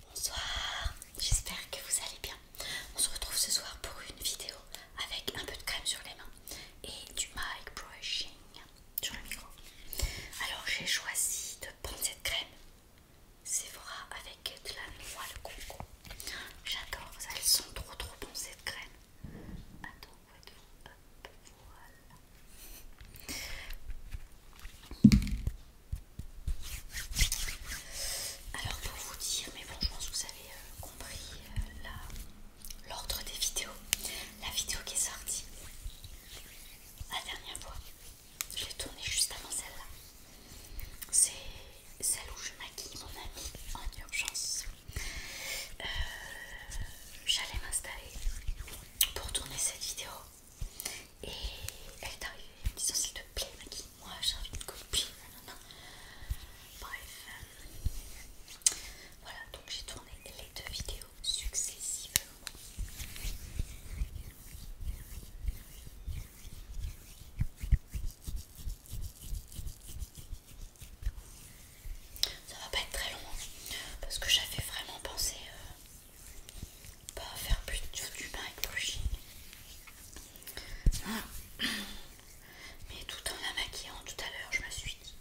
Bonsoir, j'espère que vous allez bien. On se retrouve ce soir pour une vidéo avec un peu de crème sur les mains et du mic brushing sur le micro. Alors j'ai choisi de prendre cette crème Sephora avec de la noix de coco. J'adore, elles sont trop trop bonnes cette crème. Alors pour vous dire, mais bon je pense que vous avez euh, compris euh, l'ordre des vidéos. La vidéo qui est sortie la dernière fois, je l'ai tournée juste avant celle-là. C'est celle où je maquille mon ami en urgence. Euh, j'allais m'installer pour tourner cette vidéo et elle est arrivée disons me de s'il te plaît maquille-moi, j'ai envie de copier non Bref, voilà donc j'ai tourné les deux vidéos successivement. Ça va pas être très long hein, parce que j'avais vraiment pensé euh, pas faire plus du bain avec brushing. Mais tout en la maquillant tout à l'heure, je me suis dit,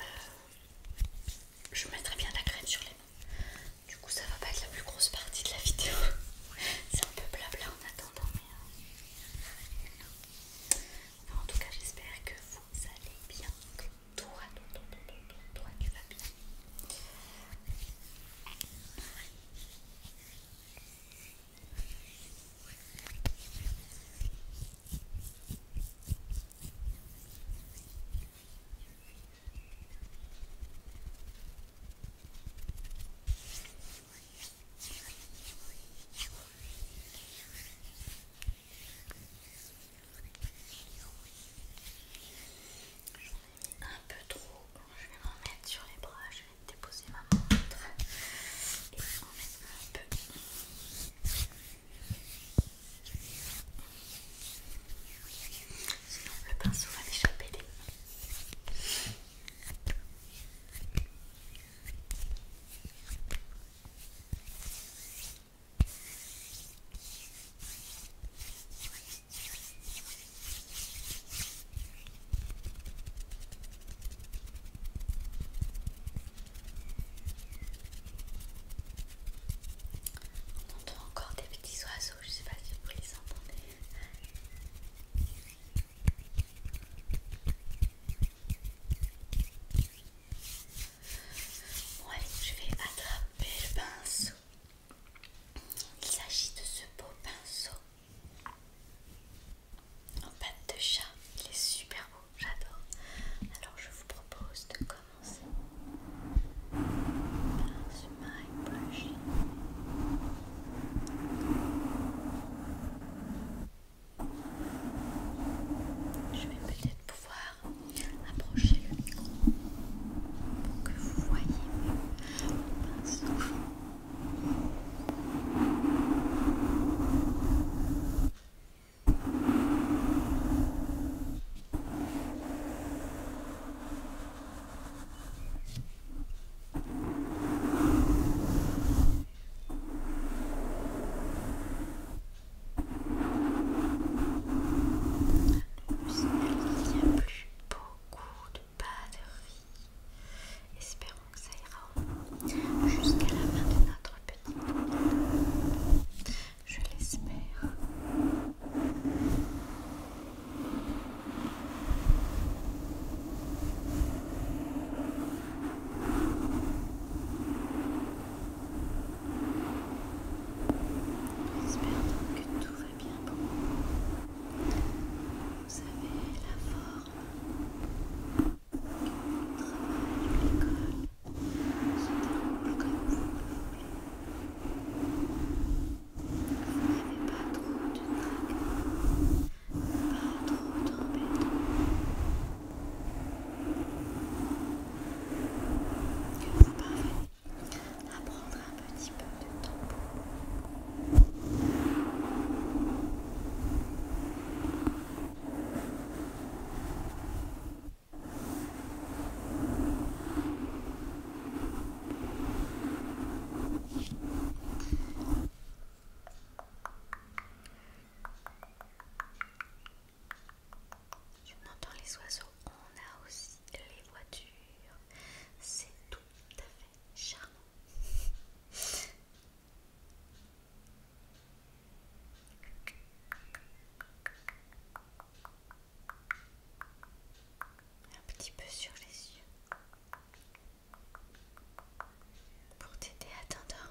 euh, je mettrai bien la crème sur les mains. Du coup, ça va pas être la plus grosse partie de la vidéo. C'est un peu blabla en attendant, mais. Euh, en tout cas, j'espère que vous allez bien. Que toi, toi, toi, toi, tu vas bien. J'en ai mis un peu trop. Je vais m'en mettre sur les bras. Je vais déposer ma montre et en mettre un peu. Sinon, le pinceau va m'échapper des mains. On entend encore des petits oiseaux, je sais pas si vous les entendez. Bon, allez, je vais attraper le pinceau. Il s'agit de ce beau pinceau en pâte de chat. Il est super beau, j'adore. Alors, je vous propose de commencer par ce je vais peut-être pouvoir approcher le micro pour que vous voyez mon il n'y a plus beaucoup de batterie. Espérons que ça ira jusqu'à la fin de notre petit Je l'espère. J'espère donc que tout va bien pour vous. Vous avez la forme que le travail ou l'école se déroule comme vous le voulez. Vous n'avez pas trop de trac, pas trop d'embêtements. Que vous parfait, à prendre un petit peu de temps. On entend les oiseaux, on a aussi les voitures. C'est tout à fait charmant. Un petit peu sur les yeux pour t'aider à t'endormir.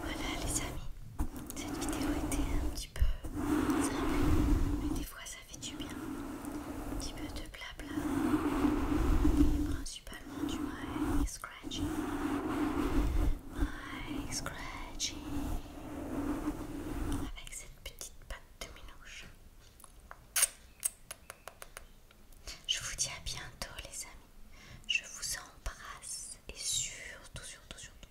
Voilà les amis, cette vidéo était un petit peu simple, mais des fois ça fait du bien. Un petit peu de blabla, et principalement du my scratching. My scratching avec cette petite patte de minouche. Je vous dis à bientôt les amis. Je vous embrasse et surtout, surtout, surtout.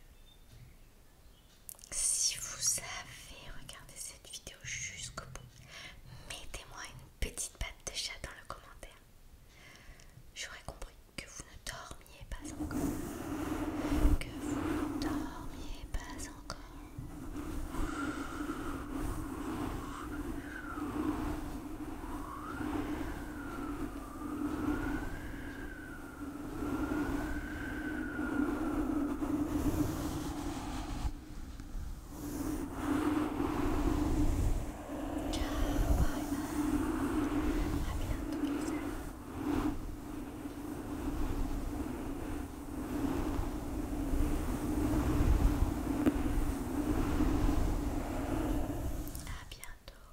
Si vous avez regardé cette vidéo jusqu'au bout, mettez-moi une petite patte de chat dans le commentaire. J'aurais compris que vous ne dormiez pas encore, que vous ne dormiez pas encore. Ciao, bye À bientôt les à bientôt.